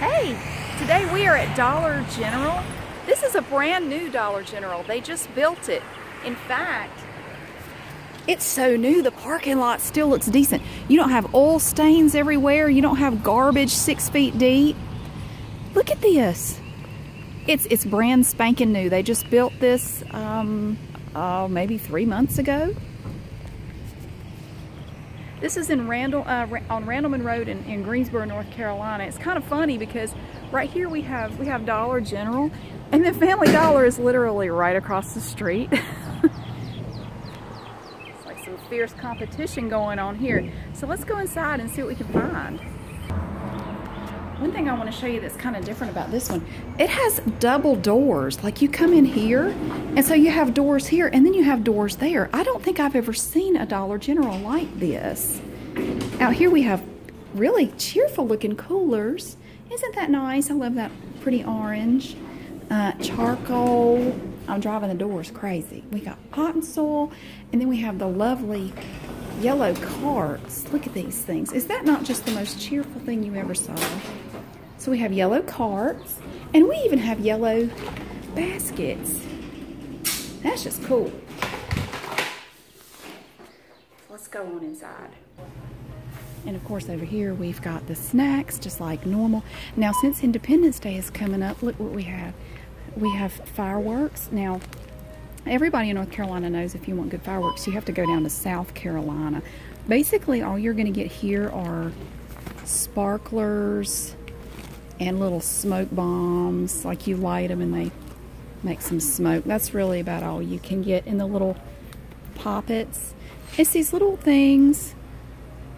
Hey, today we are at Dollar General. This is a brand new Dollar General. They just built it. In fact, it's so new, the parking lot still looks decent. You don't have oil stains everywhere. You don't have garbage six feet deep. Look at this. It's, it's brand spanking new. They just built this um, uh, maybe three months ago. This is in Randall, uh, on Randallman Road in, Greensboro, North Carolina. It's kind of funny because right here we have, we have Dollar General and the Family Dollar is literally right across the street. it's like some fierce competition going on here. So let's go inside and see what we can find. One thing I want to show you that's kind of different about this one, it has double doors. Like you come in here, and so you have doors here, and then you have doors there. I don't think I've ever seen a Dollar General like this. Out here we have really cheerful looking coolers. Isn't that nice? I love that pretty orange. Uh, charcoal. I'm driving the doors crazy. We got cotton soil, and then we have the lovely yellow carts. Look at these things. Is that not just the most cheerful thing you ever saw? So we have yellow carts, and we even have yellow baskets. That's just cool. Let's go on inside. And of course over here we've got the snacks just like normal. Now since Independence Day is coming up, look what we have. We have fireworks. Now everybody in North Carolina knows if you want good fireworks, you have to go down to South Carolina. Basically all you're gonna get here are sparklers and little smoke bombs. Like you light them and they make some smoke. That's really about all you can get in the little poppets. It's these little things.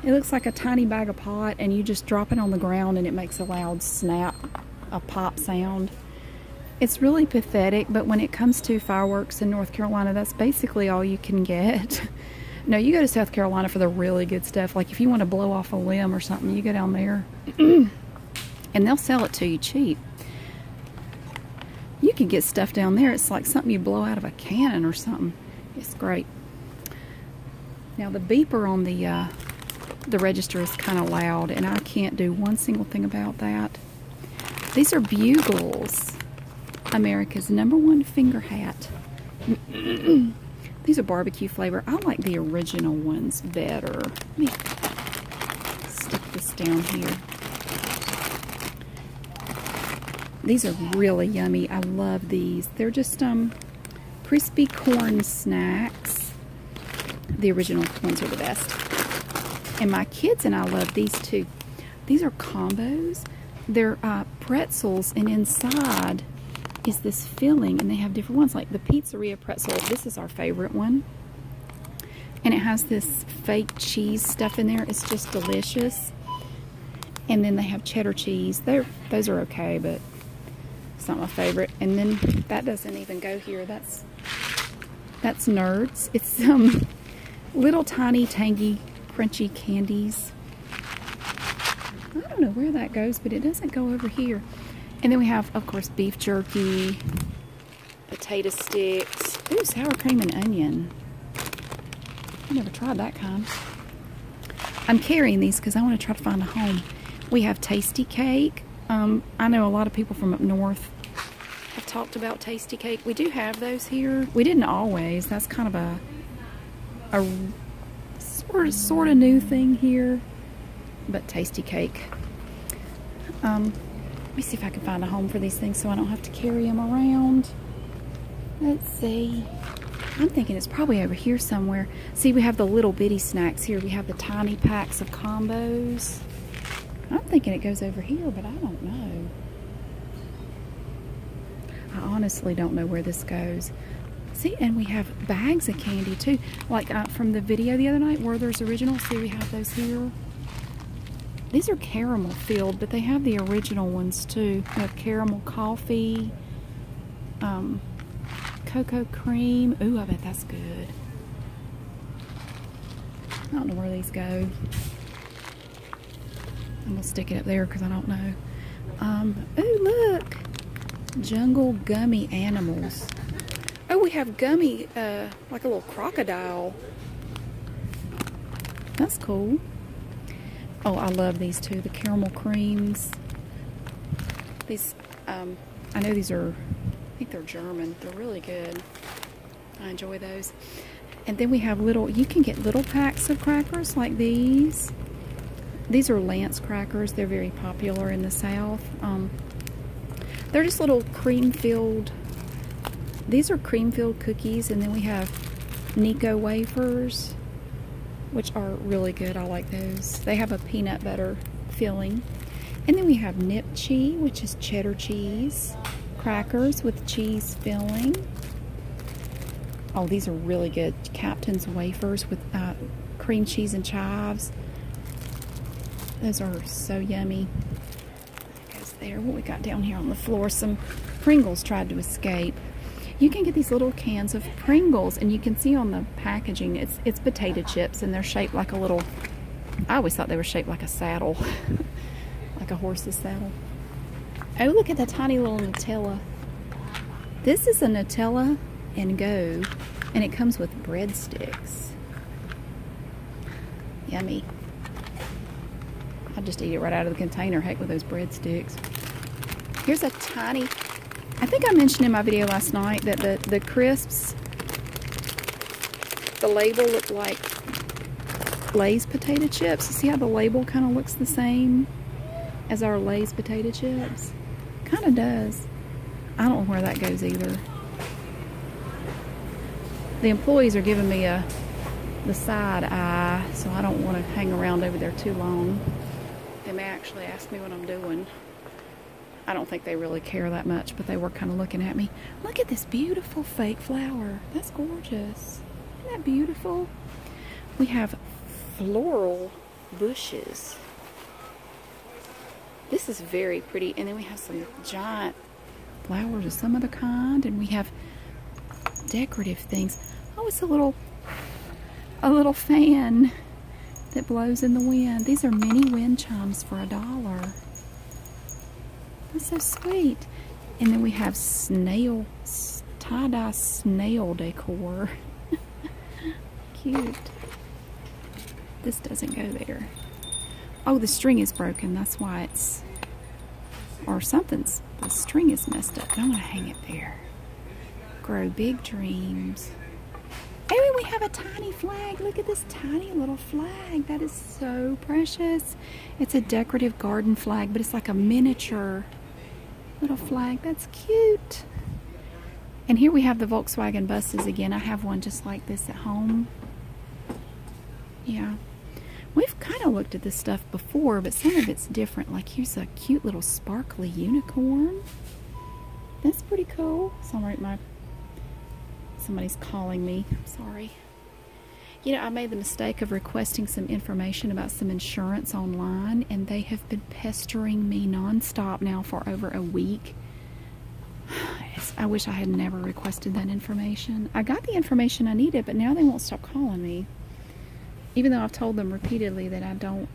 It looks like a tiny bag of pot and you just drop it on the ground and it makes a loud snap, a pop sound. It's really pathetic, but when it comes to fireworks in North Carolina, that's basically all you can get. No, you go to South Carolina for the really good stuff. Like if you want to blow off a limb or something, you go down there and they'll sell it to you cheap. You can get stuff down there. It's like something you blow out of a cannon or something. It's great. Now the beeper on the uh, the register is kind of loud and I can't do one single thing about that. These are bugles. America's number one finger hat. These are barbecue flavor. I like the original ones better. Let me stick this down here. These are really yummy. I love these. They're just um, crispy corn snacks. The original ones are the best. And my kids and I love these too. These are combos they're uh, pretzels, and inside is this filling, and they have different ones, like the pizzeria pretzel. This is our favorite one, and it has this fake cheese stuff in there. It's just delicious. And then they have cheddar cheese. they those are okay, but it's not my favorite. And then that doesn't even go here. That's that's Nerds. It's some um, little tiny tangy crunchy candies I don't know where that goes, but it doesn't go over here. And then we have, of course, beef jerky, potato sticks. Ooh, sour cream and onion. I never tried that kind. I'm carrying these because I want to try to find a home. We have tasty cake. Um, I know a lot of people from up north have talked about tasty cake. We do have those here. We didn't always. That's kind of a a sort of, new thing here, but tasty cake. Um, let me see if I can find a home for these things so I don't have to carry them around. Let's see. I'm thinking it's probably over here somewhere. See, we have the little bitty snacks here. We have the tiny packs of combos. I'm thinking it goes over here, but I don't know. I honestly don't know where this goes. See, and we have bags of candy too. Like uh, from the video the other night, where there's Original. See, we have those here. These are caramel filled, but they have the original ones too. have caramel coffee, um, cocoa cream. Ooh, I bet that's good. I don't know where these go. I'm gonna stick it up there because I don't know. Um, ooh, look, jungle gummy animals. Oh, we have gummy, uh, like a little crocodile. That's cool. Oh, I love these too. The caramel creams. These, um, I know these are, I think they're German. They're really good. I enjoy those. And then we have little, you can get little packs of crackers like these. These are Lance crackers. They're very popular in the South. Um, they're just little cream-filled. These are cream-filled cookies, and then we have Nico wafers, which are really good. I like those. They have a peanut butter filling. And then we have Nip Nipchi, which is cheddar cheese, crackers with cheese filling. Oh, these are really good. Captain's wafers with uh, cream cheese and chives. Those are so yummy. That there. What we got down here on the floor? Some Pringles tried to escape. You can get these little cans of Pringles, and you can see on the packaging, it's, it's potato chips, and they're shaped like a little, I always thought they were shaped like a saddle, like a horse's saddle. Oh, look at that tiny little Nutella. This is a Nutella and go, and it comes with breadsticks. Yummy. I'll just eat it right out of the container. Heck with those breadsticks. Here's a tiny, I think I mentioned in my video last night that the, the crisps, the label looked like Lay's potato chips. See how the label kind of looks the same? as our Lay's potato chips. Kind of does. I don't know where that goes either. The employees are giving me a the side eye, so I don't want to hang around over there too long. They may actually ask me what I'm doing. I don't think they really care that much, but they were kind of looking at me. Look at this beautiful fake flower. That's gorgeous. Isn't that beautiful? We have floral bushes. This is very pretty. And then we have some giant flowers of some other kind. And we have decorative things. Oh, it's a little, a little fan that blows in the wind. These are mini wind chimes for a dollar. That's so sweet. And then we have snail tie-dye snail decor. Cute. This doesn't go there. Oh, the string is broken. That's why it's... Or something's... The string is messed up. I don't want to hang it there. Grow big dreams. Oh, we have a tiny flag. Look at this tiny little flag. That is so precious. It's a decorative garden flag, but it's like a miniature Little flag. That's cute. And here we have the Volkswagen buses again. I have one just like this at home. Yeah. We've kind of looked at this stuff before, but some of it's different. Like here's a cute little sparkly unicorn. That's pretty cool. somebody's calling me. sorry. You know, I made the mistake mistake of requesting some information about some insurance online, and they have been pestering me nonstop now for over a week. I wish I had never requested that information. I got the information I needed, but now they won't stop calling me. Even though I've told them repeatedly that I don't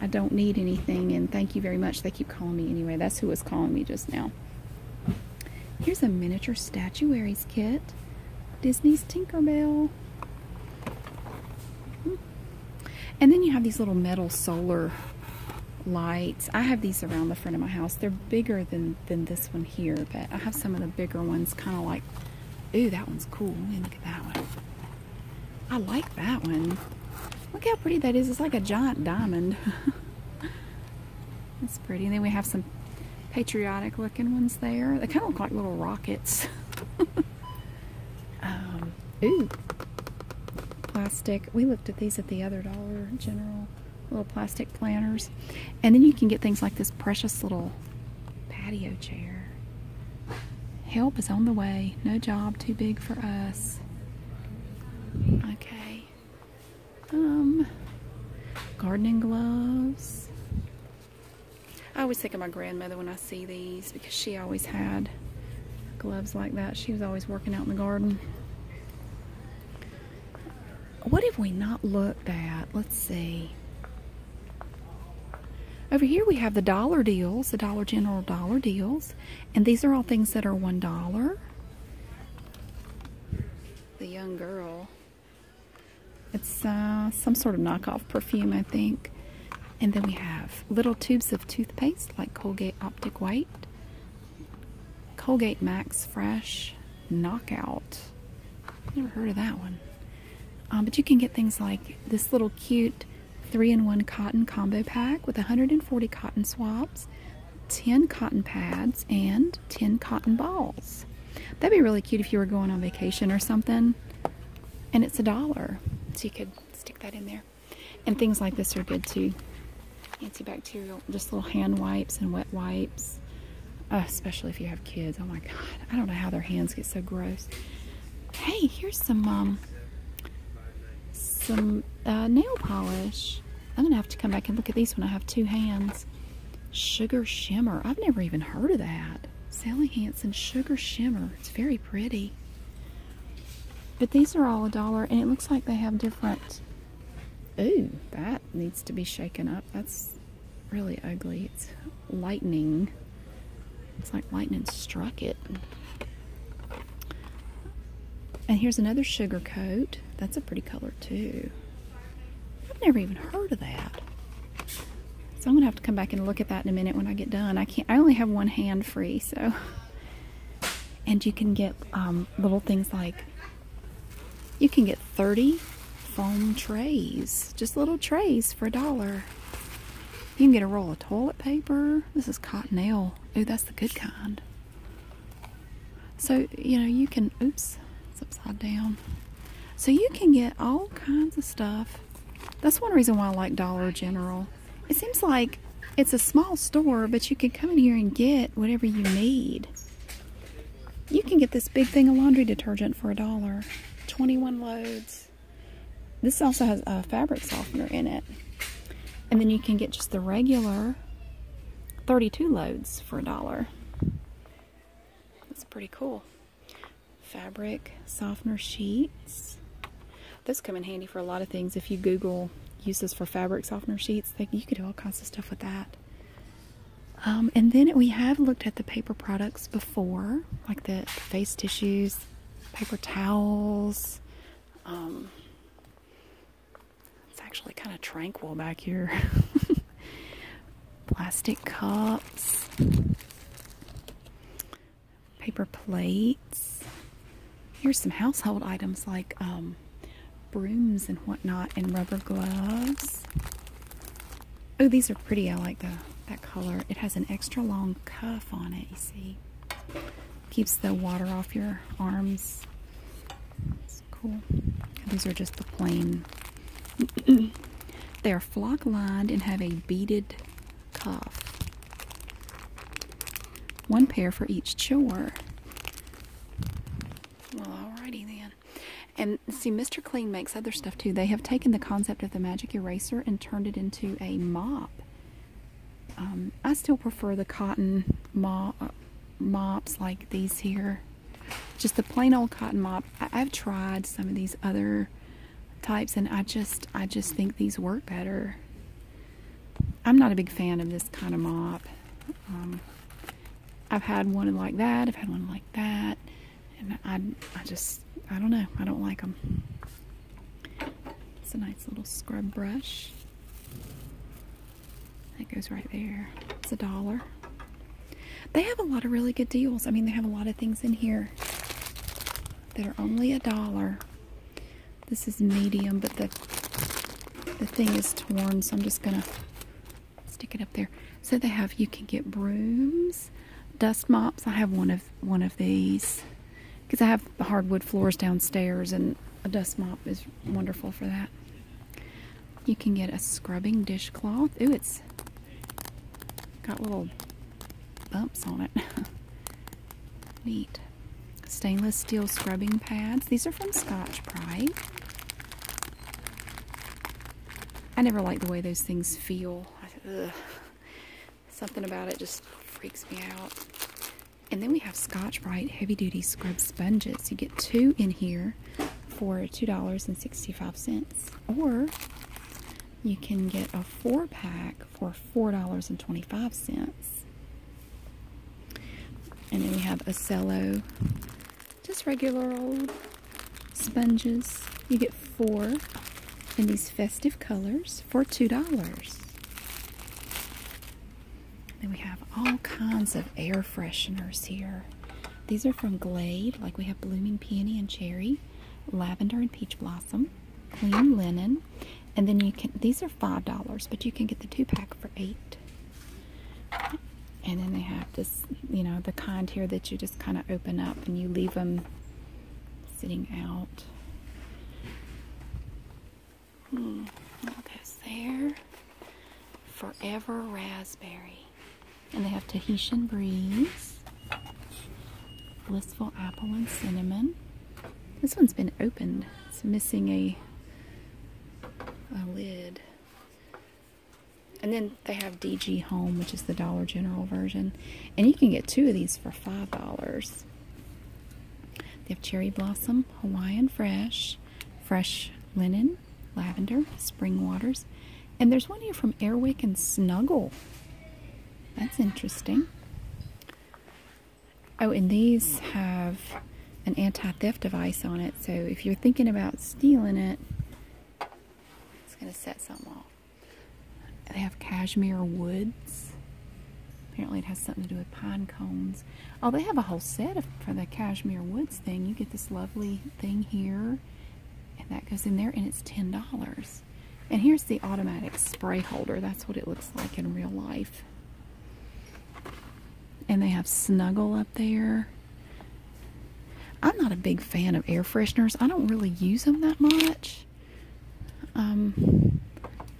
I don't need anything and thank you very much. They keep calling me anyway. That's who was calling me just now. Here's a miniature statuary's kit. Disney's Tinker Bell. And then you have these little metal solar lights. I have these around the front of my house. They're bigger than, than this one here, but I have some of the bigger ones kind of like, ooh, that one's cool. look at that one. I like that one. Look how pretty that is. It's like a giant diamond. That's pretty. And then we have some patriotic looking ones there. They kind of look like little rockets. Um, plastic. We looked at these at the other Dollar General. Little plastic planters. And then you can get things like this precious little patio chair. Help is on the way. No job too big for us. Okay. Um, gardening gloves. I always think of my grandmother when I see these because she always had gloves like that. She was always working out in the garden. What have we not looked at? Let's see. Over here we have the dollar deals, the Dollar General dollar deals. And these are all things that are $1. The young girl it's uh, some sort of knockoff perfume, I think. And then we have little tubes of toothpaste like Colgate Optic White, Colgate Max Fresh, Knockout. Never heard of that one. Um, but you can get things like this little cute three-in-one cotton combo pack with 140 cotton swabs, 10 cotton pads, and 10 cotton balls. That'd be really cute if you were going on vacation or something and it's a dollar. So you could stick that in there. And things like this are good too. Antibacterial, just little hand wipes and wet wipes. Uh, especially if you have kids. Oh my God, I don't know how their hands get so gross. Hey, here's some um, some uh, nail polish. I'm gonna have to come back and look at these when I have two hands. Sugar shimmer. I've never even heard of that. Sally Hansen Sugar Shimmer. It's very pretty. But these are all a dollar, and it looks like they have different. Ooh, that needs to be shaken up. That's really ugly. It's lightning. It's like lightning struck it. And here's another sugar coat. That's a pretty color, too. I've never even heard of that. So I'm gonna have to come back and look at that in a minute when I get done. I can't. I only have one hand free, so. And you can get um, little things like. You can get 30 foam trays, just little trays for a dollar. You can get a roll of toilet paper. This is cottonelle. Ooh, that's the good kind. So you know you can. Oops, it's upside down. So you can get all kinds of stuff. That's one reason why I like Dollar General. It seems like it's a small store, but you can come in here and get whatever you need. You can get this big thing of laundry detergent for a dollar. 21 loads. This also has a fabric softener in it. And then you can get just the regular 32 loads for a dollar. That's pretty cool fabric softener sheets. Those come in handy for a lot of things. If you Google uses for fabric softener sheets, they, you can do all kinds of stuff with that. Um, and then we have looked at the paper products before, like the face tissues, paper towels. Um, it's actually kind of tranquil back here. plastic cups, paper plates. Here's some household items like um, brooms and whatnot, and rubber gloves. Oh, these are pretty. I like the that color. It has an extra long cuff on it. You see, keeps the water off your arms. cool. These are just the plain they are flock lined and have a beaded cuff. One pair for each chore. Well, alrighty then. And see, Mr. Clean makes other stuff too. They have taken the concept of the magic eraser and turned it into a mop. Um, I still prefer the cotton mop, uh, mops like these here. Just the plain old cotton mop. I've tried some of these other types and I just I just think these work better. I'm not a big fan of this kind of mop. Um, I've had one like that. I've had one like that. And I, I just, I don't know. I don't like them. It's a nice little scrub brush. That goes right there. It's a dollar. They have a lot of really good deals. I mean, they have a lot of things in here that are only a dollar. This is medium, but the the thing is torn, so I'm just gonna stick it up there. So they have you can get brooms, dust mops. I have one of one of these because I have hardwood floors downstairs, and a dust mop is wonderful for that. You can get a scrubbing dishcloth. Ooh, it's got little bumps on it. Neat. Stainless steel scrubbing pads. These are from Scotch Brite. I never like the way those things feel. Something about it just freaks me out. And then we have Scotch Brite Heavy Duty Scrub Sponges. You get two in here for $2.65. Or you can get a four pack for $4.25. And then we have Ocello, just regular old sponges. You get four in these festive colors for $2. Then we have all kinds of air fresheners here. These are from Glade, like we have Blooming Peony and Cherry lavender and peach blossom, clean linen, and then you can these are five dollars, but you can get the two pack for eight. And then they have this, you know, the kind here that you just kind of open up and you leave them sitting out. Hmm, what there? Forever raspberry. And they have Tahitian Breeze, Blissful Apple and Cinnamon. This one's been opened. It's missing a, lid. And then they have DG Home, which is the Dollar General version. And you can get two of these for $5. They have Cherry Blossom, Hawaiian Fresh, Fresh Linen, Lavender, Spring Waters, and there's one here from Airwick and Snuggle. That's interesting. Oh, and these have an anti-theft device on it. So if you're thinking about stealing it, it's going to set something off. They have cashmere woods. Apparently it has something to do with pine cones. Oh, they have a whole set for the cashmere woods thing. You get this lovely thing here and that goes in there and it's ten dollars and here's the automatic spray holder that's what it looks like in real life and they have snuggle up there i'm not a big fan of air fresheners i don't really use them that much um,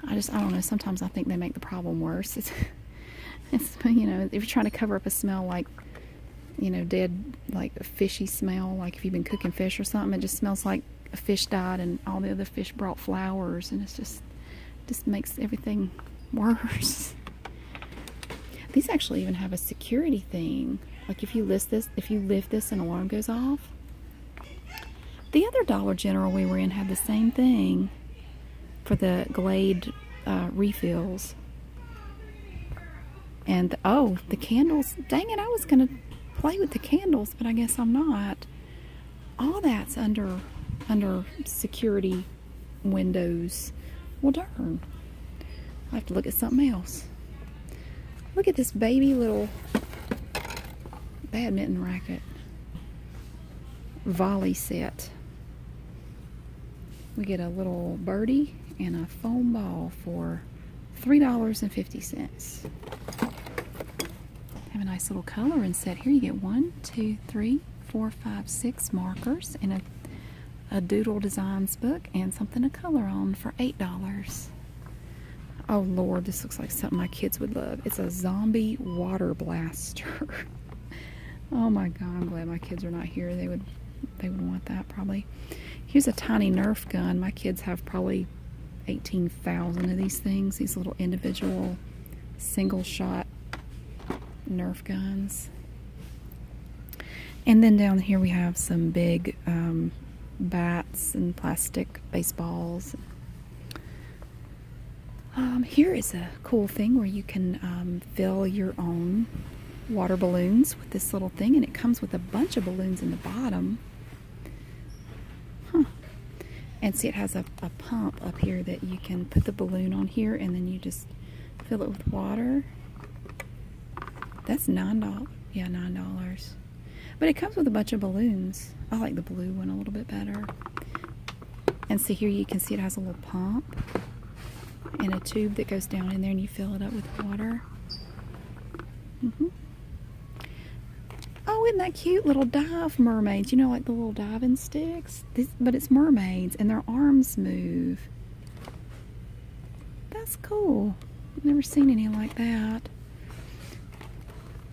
i just i don't know sometimes i think they make the problem worse it's you know if you're trying to cover up a smell like you know, dead, like fishy smell, like if you've been cooking fish or something. It just smells like a fish died and all the other fish brought flowers, and it just, just makes everything worse. These actually even have a security thing. Like if you list this, if you lift this, an alarm goes off. The other Dollar General we were in had the same thing for the Glade uh, refills. And, oh, the candles. Dang it, I was going to play with the candles, but I guess I'm not. All that's under, under security windows. Well, darn. I have to look at something else. Look at this baby little badminton racket volley set. We get a little birdie and a foam ball for $3.50. Have a nice little coloring set here. You get one, two, three, four, five, six markers and a, a doodle designs book and something to color on for $8. Oh Lord, this looks like something my kids would love. It's a zombie water blaster. oh my God, I'm glad my kids are not here. They would they would want that probably. Here's a tiny Nerf gun. My kids have probably 18,000 of these things, these little individual single shot Nerf guns. And then down here we have some big um, bats and plastic baseballs. Um, here is a cool thing where you can um, fill your own water balloons with this little thing, and it comes with a bunch of balloons in the bottom. Huh. And see, it has a, a pump up here that you can put the balloon on here, and then you just fill it with water. That's $9. Yeah, $9. But it comes with a bunch of balloons. I like the blue one a little bit better. And see here you can see it has a little pump. And a tube that goes down in there and you fill it up with water. -hmm. Oh, isn't that cute? Little dive mermaids. You know, like the little diving sticks? but it's mermaids and their arms move. That's cool. I've never seen any like that.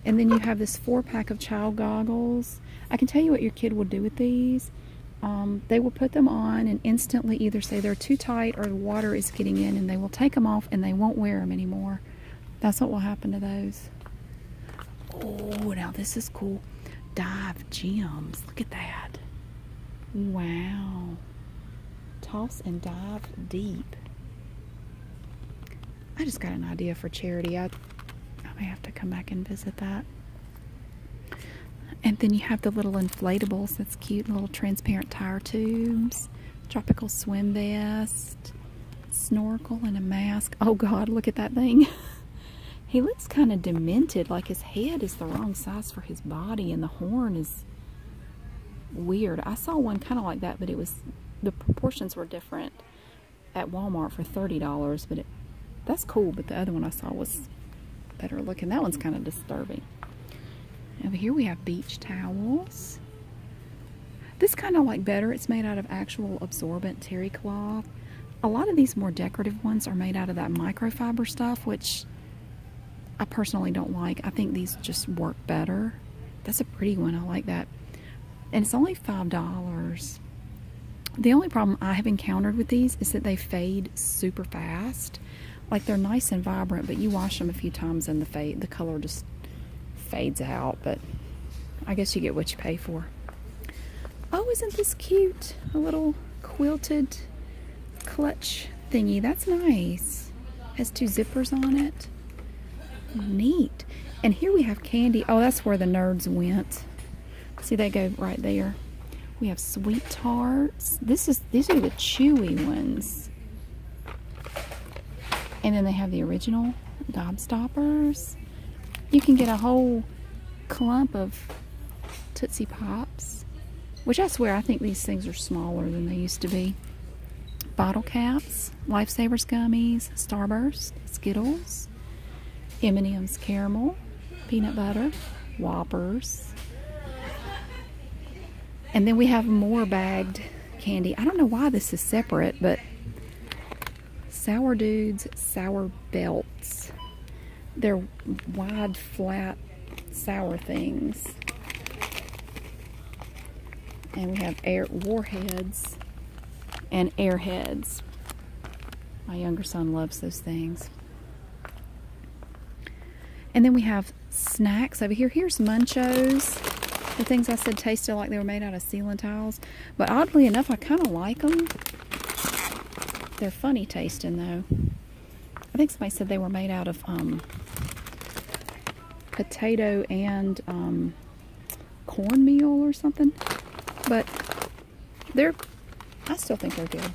And then you have this four pack of child goggles. I can tell you what your kid will do with these. Um, they will put them on and instantly either say they're too tight or the water is getting in and they will take them off and they won't wear them anymore. That's what will happen to those. Oh, now this is cool. Dive gems. Look at that. Wow. Toss and dive deep. I just got an idea for charity. I, I may have to come back and visit that. And then you have the little inflatables. That's cute. Little transparent tire tubes. Tropical swim vest. Snorkel and a mask. Oh God, look at that thing. he looks kind of demented. Like his head is the wrong size for his body. And the horn is weird. I saw one kind of like that, but it was the proportions were different at Walmart for $30. But that's cool. But the other one I saw was better looking. That one's kind of disturbing. Over here we have beach towels. This kind of like better. It's made out of actual absorbent terry cloth. A lot of these more decorative ones are made out of that microfiber stuff, which I personally don't like. I think these just work better. That's a pretty one. I like that. And it's only $5. The only problem I have encountered with these is that they fade super fast like they're nice and vibrant but you wash them a few times and the fade the color just fades out but I guess you get what you pay for oh isn't this cute a little quilted clutch thingy that's nice has two zippers on it neat and here we have candy oh that's where the nerds went see they go right there we have sweet tarts. This is these are the chewy ones. And then they have the original gobstoppers. You can get a whole clump of Tootsie Pops, which I swear I think these things are smaller than they used to be. Bottle caps, Lifesavers gummies, Starburst, Skittles, M&M's caramel, peanut butter, Whoppers, and then we have more bagged candy. I don't know why this is separate, but Sour Dudes Sour Belts. They're wide, flat, sour things. And we have air warheads and airheads. My younger son loves those things. And then we have snacks over here. Here's Munchos. The things I said tasted like they were made out of ceiling tiles. But oddly enough, I kind of like them. They're funny tasting, though. I think somebody said they were made out of um, potato and um, cornmeal or something. But they're, I still think they're good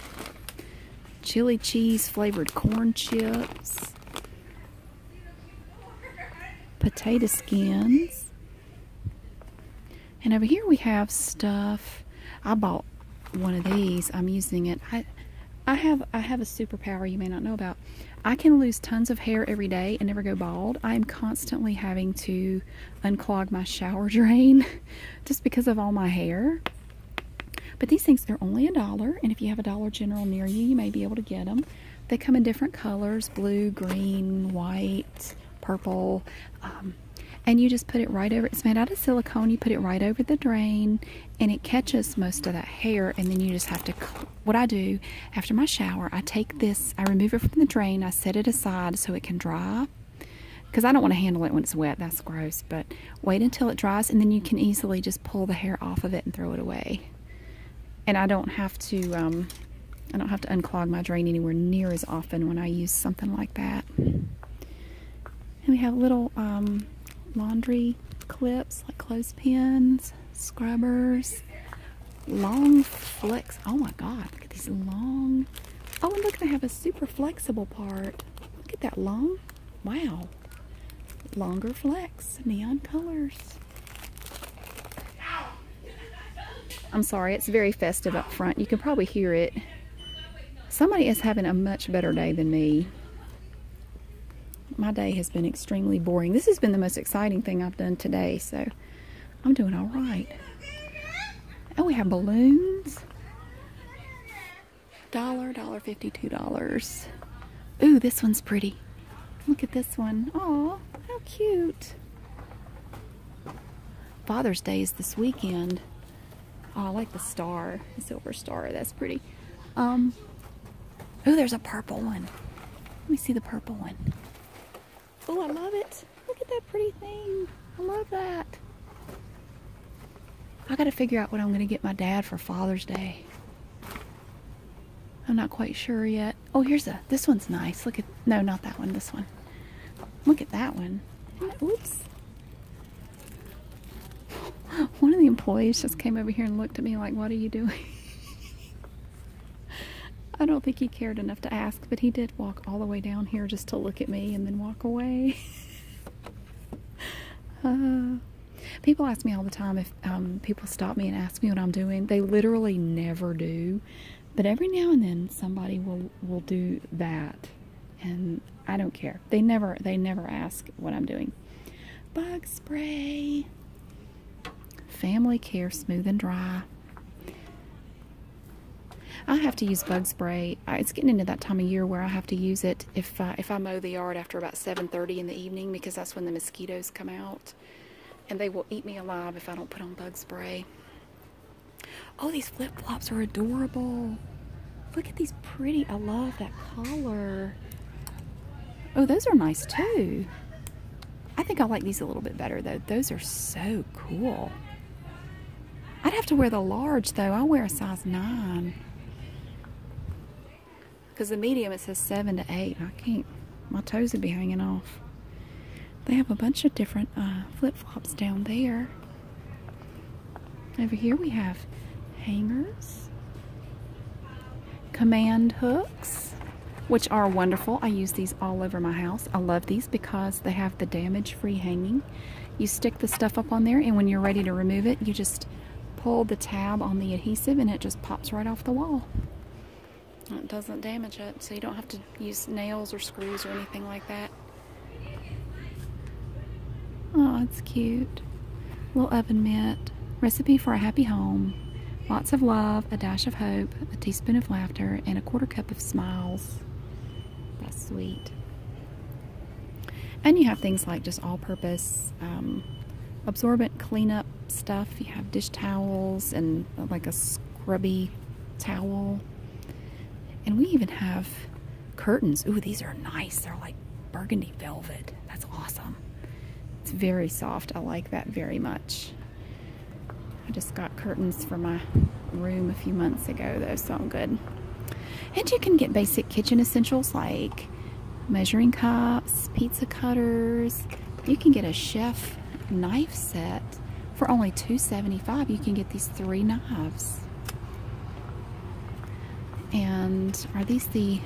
chili cheese flavored corn chips, potato skins. And over here we have stuff. I bought one of these. I'm using it. I I have I have a superpower you may not know about. I can lose tons of hair every day and never go bald. I am constantly having to unclog my shower drain just because of all my hair. But these things, they're only a dollar, and if you have a Dollar General near you, you may be able to get them. They come in different colors blue, green, white, purple. Um, and you just put it right over it's made out of silicone you put it right over the drain and it catches most of that hair and then you just have to what i do after my shower i take this i remove it from the drain i set it aside so it can dry because i don't want to handle it when it's wet that's gross but wait until it dries and then you can easily just pull the hair off of it and throw it away and I don't have to um, I don't have to unclog my drain anywhere near as often when I use something like that and we have little um, laundry clips like clothespins scrubbers long flex oh my god look at these long oh and look they have a super flexible part look at that long Wow. Longer flex, neon colors. I'm sorry, it's very festive up front. You can probably hear it. Somebody is having a much better day than me. My day has been extremely boring. This has been the most exciting thing I've done today, so I'm doing all right. Oh, we have balloons dollar dollar 52 dollars Ooh, this one's pretty look at this one oh how cute father's day is this weekend oh i like the star the silver star that's pretty um oh there's a purple one let me see the purple one. Oh, I love it. Look at that pretty thing. I love that. I gotta figure out what I'm gonna get my dad for Father's Day. I'm not quite sure yet. Oh, here's a. This one's nice. Look at. No, not that one. This one. Look at that one. Oops. One of the employees just came over here and looked at me like, What are you doing? I don't think he cared enough to ask, but he did walk all the way down here just to look at me and then walk away. Uh, people ask me all the time if um, people stop me and ask me what I'm doing. They literally never do, but every now and then somebody will will do that, and I don't care. They never they never ask what I'm doing. Bug spray, family care, smooth and dry. I have to use bug spray. It's getting into that time of year where I have to use it if I, if I mow the yard after about 7:30 in the evening because that's when the mosquitoes come out, and they will eat me alive if I don't put on bug spray. Oh, these flip flops are adorable. Look at these pretty. I love that color. Oh, those are nice too. I think I like these a little bit better though. Those are so cool. I'd have to wear the large though. I wear a size 9. Because the medium, it says 7 to 8. I can't, my toes would be hanging off. They have a bunch of different uh, flip flops down there. Over here we have hangers, command hooks, which are wonderful. I use these all over my house. I love these because they have the damage free hanging. You stick the stuff up on there, and when you're ready to remove it, you just pull the tab on the adhesive and it just pops right off the wall. It doesn't damage it, so you don't have to use nails or screws or anything like that. Oh, it's cute. Little oven mitt. Recipe for a happy home. Lots of love, a dash of hope, a teaspoon of laughter, and a quarter cup of smiles. That's sweet. And you have things like just all purpose um, absorbent cleanup stuff. You have dish towels and uh, like a scrubby towel. And we even have curtains. Ooh, these are nice. They're like burgundy velvet. That's awesome. It's very soft. I like that very much. I just got curtains for my room a few months ago though, so I'm good. And you can get basic kitchen essentials like measuring cups, pizza cutters. You can get a chef knife set for only two seventy-five. You can get these three knives. And are these the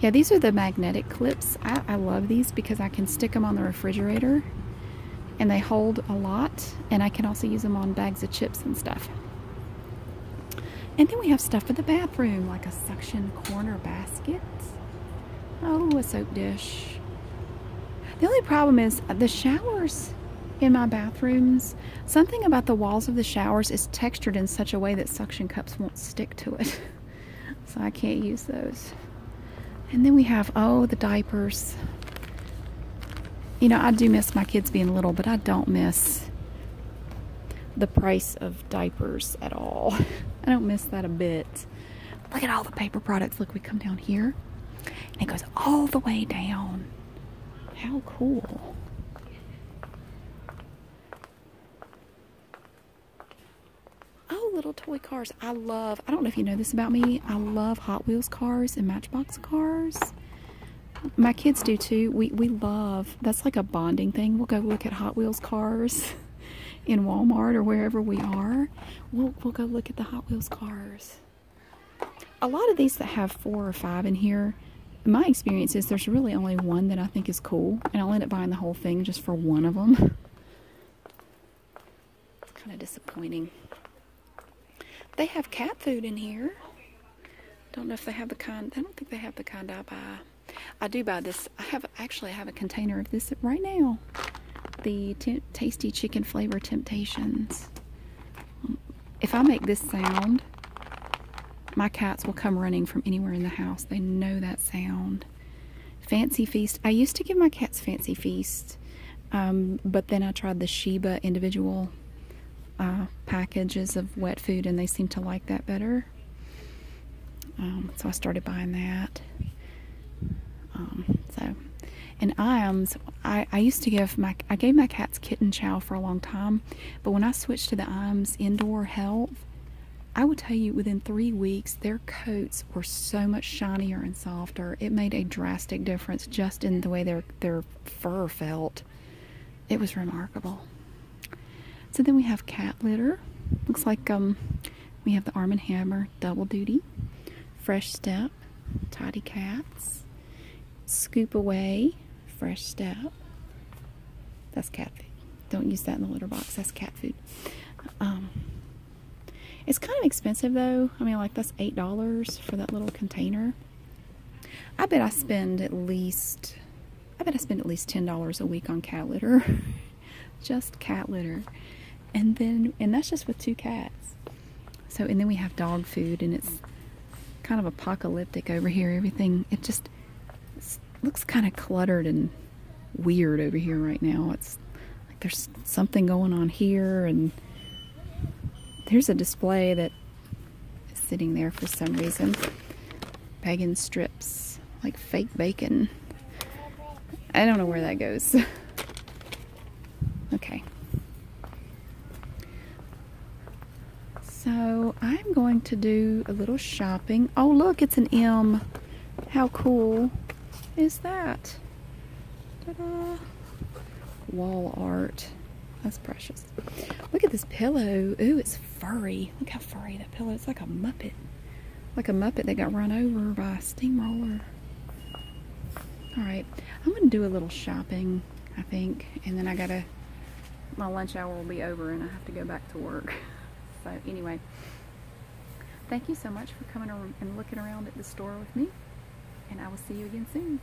yeah, these are the magnetic clips. I, love these because I can stick them on the refrigerator and they hold a lot and I can also use them on bags of chips and stuff. And then we have stuff for the bathroom, like a suction corner basket. Oh, a soap dish. The only problem is uh, the showers in my bathrooms. Something about the walls of the showers is textured in such a way that suction cups won't stick to it. so I can't use those. And then we have, oh, the diapers. You know, I do miss my kids being little, but I don't miss the price of diapers at all. I don't miss that a bit. Look at all the paper products. Look, we come down here and it goes all the way down. How cool. Oh, little toy cars. I love, I don't know if you know this about me, I love Hot Wheels cars and Matchbox cars. My kids do too. We we love that's like a bonding thing. We'll go look at Hot Wheels cars in Walmart or wherever we are. We'll we'll go look at the Hot Wheels cars. A lot of these that have four or five in here, my experience is there's really only one that I think is cool, and I'll end up buying the whole thing just for one of them. It's kind of disappointing. They have cat food in here don't know if they have the kind. I don't think they have the kind I buy. I do buy this. I have actually I have a container of this right now. The tasty chicken flavor temptations. If I make this sound, my cats will come running from anywhere in the house. They know that sound. Fancy feast. I used to give my cats fancy feast, um, but then I tried the Sheba individual uh, packages of wet food and they seem to like that better. Um, so I started buying that. Um, so, and Iams, I, I used to give my, I gave my cats kitten chow for a long time, but when I switched to the Iams indoor health, I will tell you within three weeks, their coats were so much shinier and softer. It made a drastic difference just in the way their, their fur felt. It was remarkable. So then we have cat litter. Looks like um, we have the Arm & Hammer Double Duty, Fresh Step, Tidy Cats, Scoop Away, Fresh Step. That's cat food. Don't use that in the litter box. That's cat food. Um, it's kind of expensive though. I mean, like that's $8 for that little container. I bet I spend at least I bet I spend at least $10 a week on cat litter. just cat litter. And then and that's just with two cats. So and then we have dog food and it's kind of apocalyptic over here. Everything it just looks kind of cluttered and weird over here right now. It's like there's something going on here and there's a display that sitting there for some reason. Bacon strips, like fake bacon. I don't know where that goes. okay. So I'm going to do a little shopping. Oh, look, it's an M. How cool is that? Wall art. That's precious. Look at this pillow. Ooh, it's furry. Look how furry that pillow. is like a muppet. Like a muppet that got run over by a steamroller. All right, I'm gonna do a little shopping, I think, and then I gotta, my lunch hour will be over and I have to go back to work. So anyway, thank you so much for coming and looking around at the store with me, and I will see you again soon.